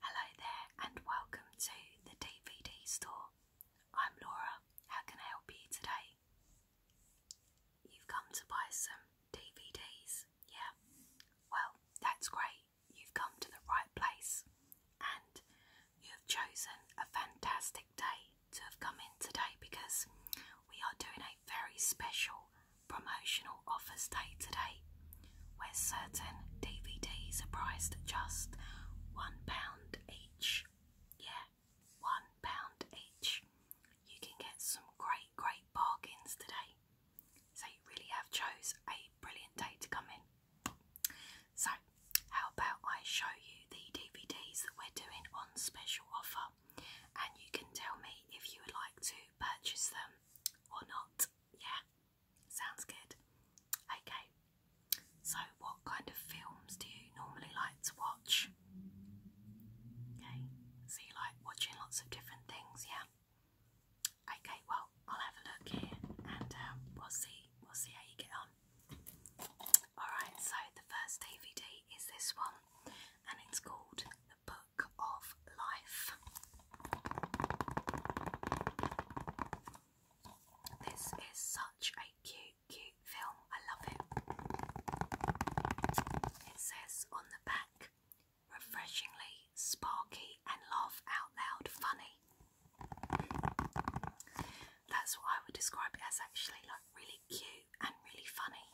Hello there, and welcome to the DVD store. I'm Laura. How can I help you today? You've come to buy some DVDs, yeah? Well, that's great. You've come to the right place, and you have chosen a fantastic day to have come in today because we are doing a very special promotional offers day to day, where certain DVDs are priced at just £1 each. Yeah, £1 each. You can get some great, great bargains today. So you really have chose a brilliant day to come in. So, how about I show you the DVDs that we're doing on special offer and you can tell me if you would like to purchase them or not. Yeah, sounds good. Okay, so what kind of films do you normally like to watch? Okay, so you like watching lots of different things, yeah? Okay, well, I'll have a look here and um, we'll see. We'll see how you get on. Alright, so the first DVD is this one, and it's called Book of Life. This is such a cute, cute film. I love it. It says on the back, refreshingly sparky and laugh out loud funny. That's what I would describe it as actually like really cute and really funny.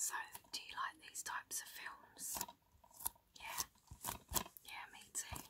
So, do you like these types of films? Yeah, yeah, me too.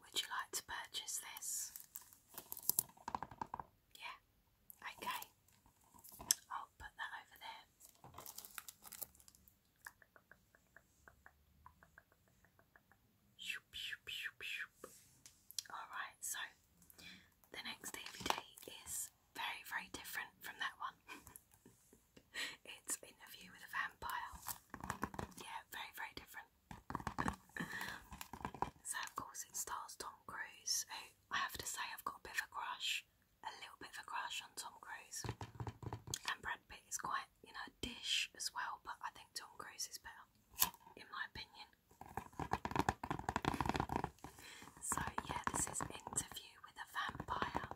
Would you like to purchase this? Yeah, okay. I'll put that over there. Alright, so the next DVD is very, very different from that one. it's Interview with a Vampire. Yeah, very, very different. so, of course, it stars Tom Cruise, who I have to say I've got a bit of a crush, a little bit of a crush on Tom Cruise. And Brad Pitt is quite, you know, dish as well, but I think Tom Cruise is better, in my opinion. So yeah, this is Interview with a Vampire.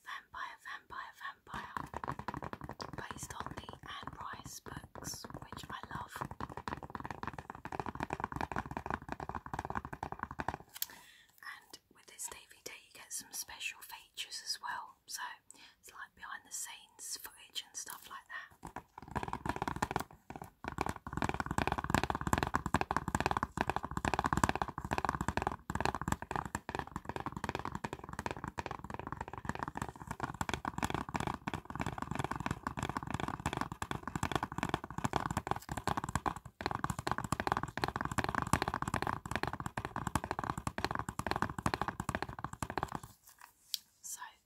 Vampire, vampire, vampire. Based on the Anne Rice books, which I love. And with this DVD, you get some special features as well. So it's like behind the scenes footage and stuff like that. So,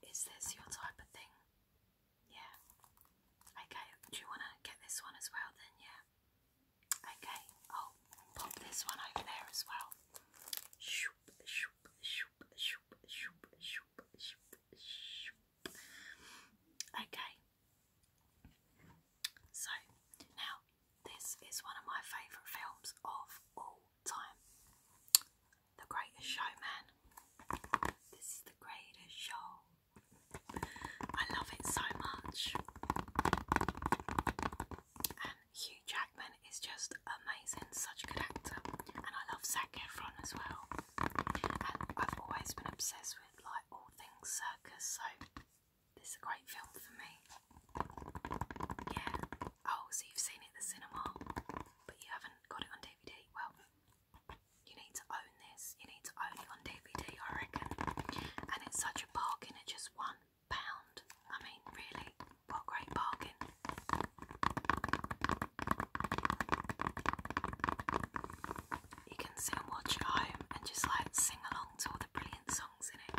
is this your type of thing? Yeah. Okay, do you want to get this one as well then? Yeah. Okay, i pop this one over there as well. Okay. So now this is one of my favourite films of all time. The Greatest Showman. This is the greatest show I love it so much. And Hugh Jackman is just amazing, such a good actor. And I love Zac Efron as well. And I've always been obsessed with like all things circus, so this is a great film for me. Yeah. Oh, so you've seen it the cinema, but you haven't got it on DVD. Well, you need to own this. You need to own it on DVD, I reckon. And it's such a bargain at just one pound. I mean, really, what great bargain. You can sit and watch at home and just like sing along to all the brilliant songs in it.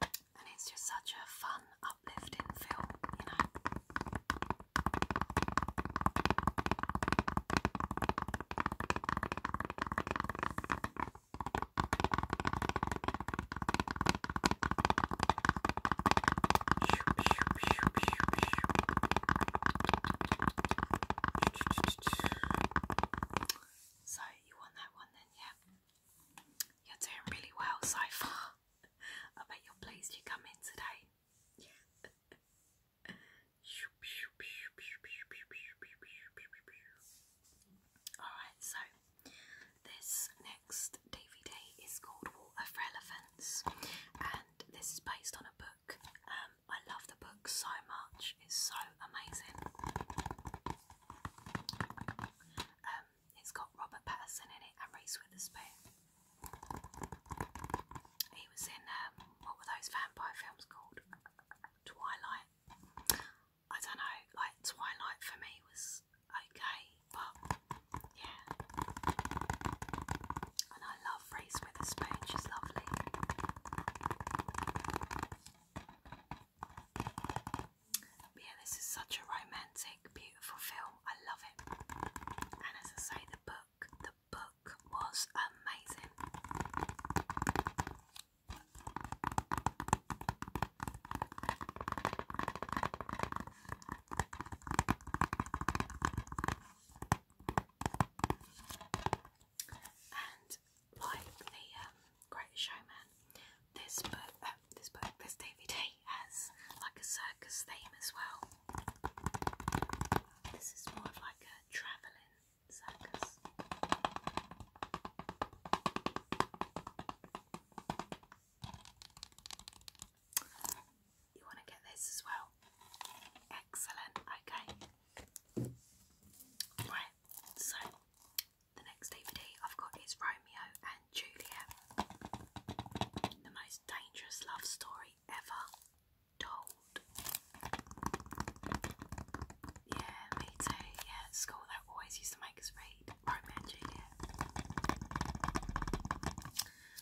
And it's just such a fun, uplifting film, you know. So, you want that one then, yeah? You're doing really well so far. I bet you're pleased you come in today. Alright, so this next DVD is called Water for Elephants, and this is based on a book. Um, I love the book so much, it's so amazing. Um, it's got Robert Patterson in it and Reese Witherspoon. He was in um, what were those vampire films called? Twilight. I don't know. Like Twilight for me was okay, but yeah. And I love Reese Witherspoon. She's lovely. But yeah, this is such a romantic, beautiful film. I love it. And as I say, the book, the book was amazing. And like the um, Great Showman, this book, uh, this book, this DVD has like a circus theme as well. This is more of like a travelling circus. You want to get this as well? Excellent, okay. Right, so the next DVD I've got is Romeo Julia, The most dangerous love story ever told. Yeah, me Yeah, school they always used to make us read Romeo and Juliet.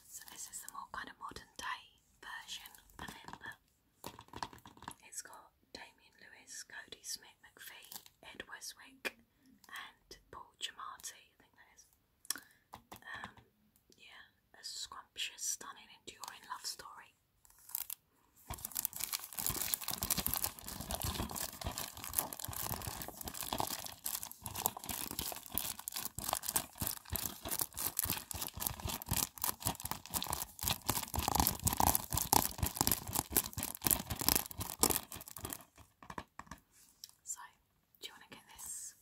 So this is the more kind of modern day version, and then it's got Damien Lewis, Cody Smith McPhee, Ed Westwick, and Paul Giamatti, I think that is. Um, yeah, a scrumptious, stunning, enduring love story. So do you want to get this?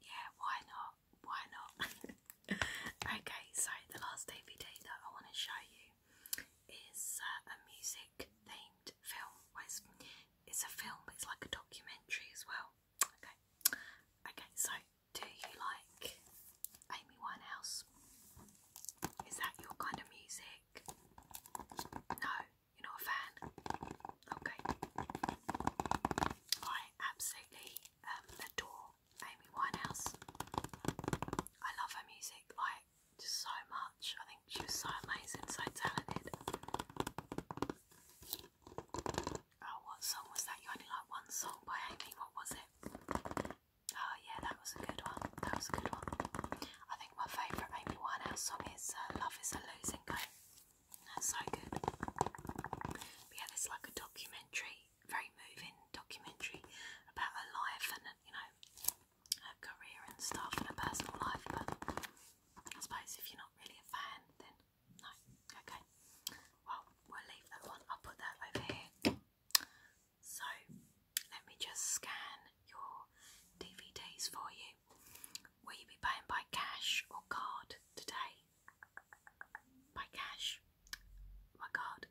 Yeah, why not? Why not? okay, so the last DVD that I want to show you is uh, a music themed film. Well, it's a film, it's like a documentary as well. Okay, okay. So, do you like Amy Winehouse? Is that your kind of music? No. You're not a fan? Okay. I absolutely um, adore Amy Winehouse. I love her music like so much. I think she was so amazing, so talented. Oh, what song was that? You only like one song by Amy. What was it? Oh yeah, that was a good one. That was a good one. I my favourite maybe one Winehouse song is uh, Love is a Losing Game. That's so good. yeah, there's like a documentary, very moving documentary about her life and, you know, her career and stuff and her personal life. But I suppose if you're not really a fan, then no. Okay. Well, we'll leave that one. I'll put that over here. So, let me just scan your DVDs for you. Will you be paying by cash or card today? By cash? By card?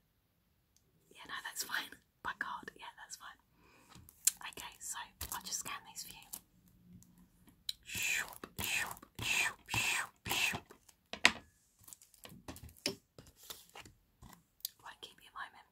Yeah, no, that's fine. By card, yeah, that's fine. Okay, so i just scan these for you. Shoop, shoop, shoop, shoop, shoop. will keep you a moment.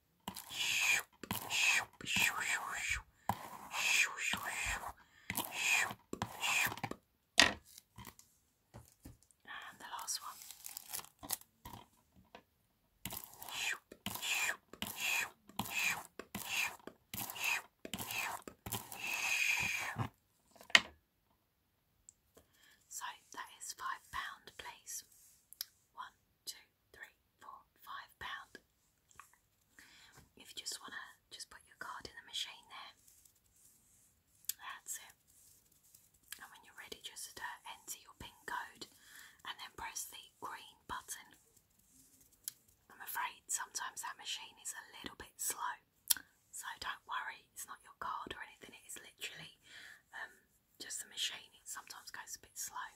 And the last one. So that is five pound, please. One, two, three, for five pound. If you just wanna just put your card in the machine there. That's it. And when you're ready, just uh, enter your PIN code and then press the green button. I'm afraid sometimes that machine is a little bit slow, so don't worry, it's not your card or anything, it is literally um, just the machine, it sometimes goes a bit slow.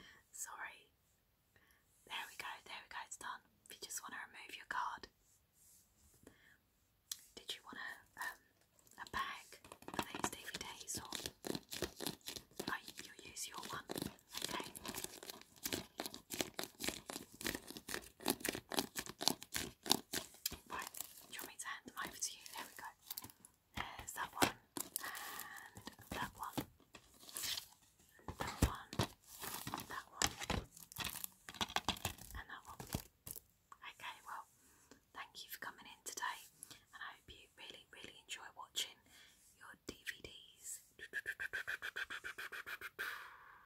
Sorry. There we go, there we go, it's done. If you just want to remove your card. Did you want a, um, a bag for these DVDs or oh, you use your one? Okay. Right, you want me to hand them over to you? There we go. There's that one, and that one, that one, that one, and that one. Okay, well, thank you for coming in today, and I hope you really, really enjoy watching your DVDs.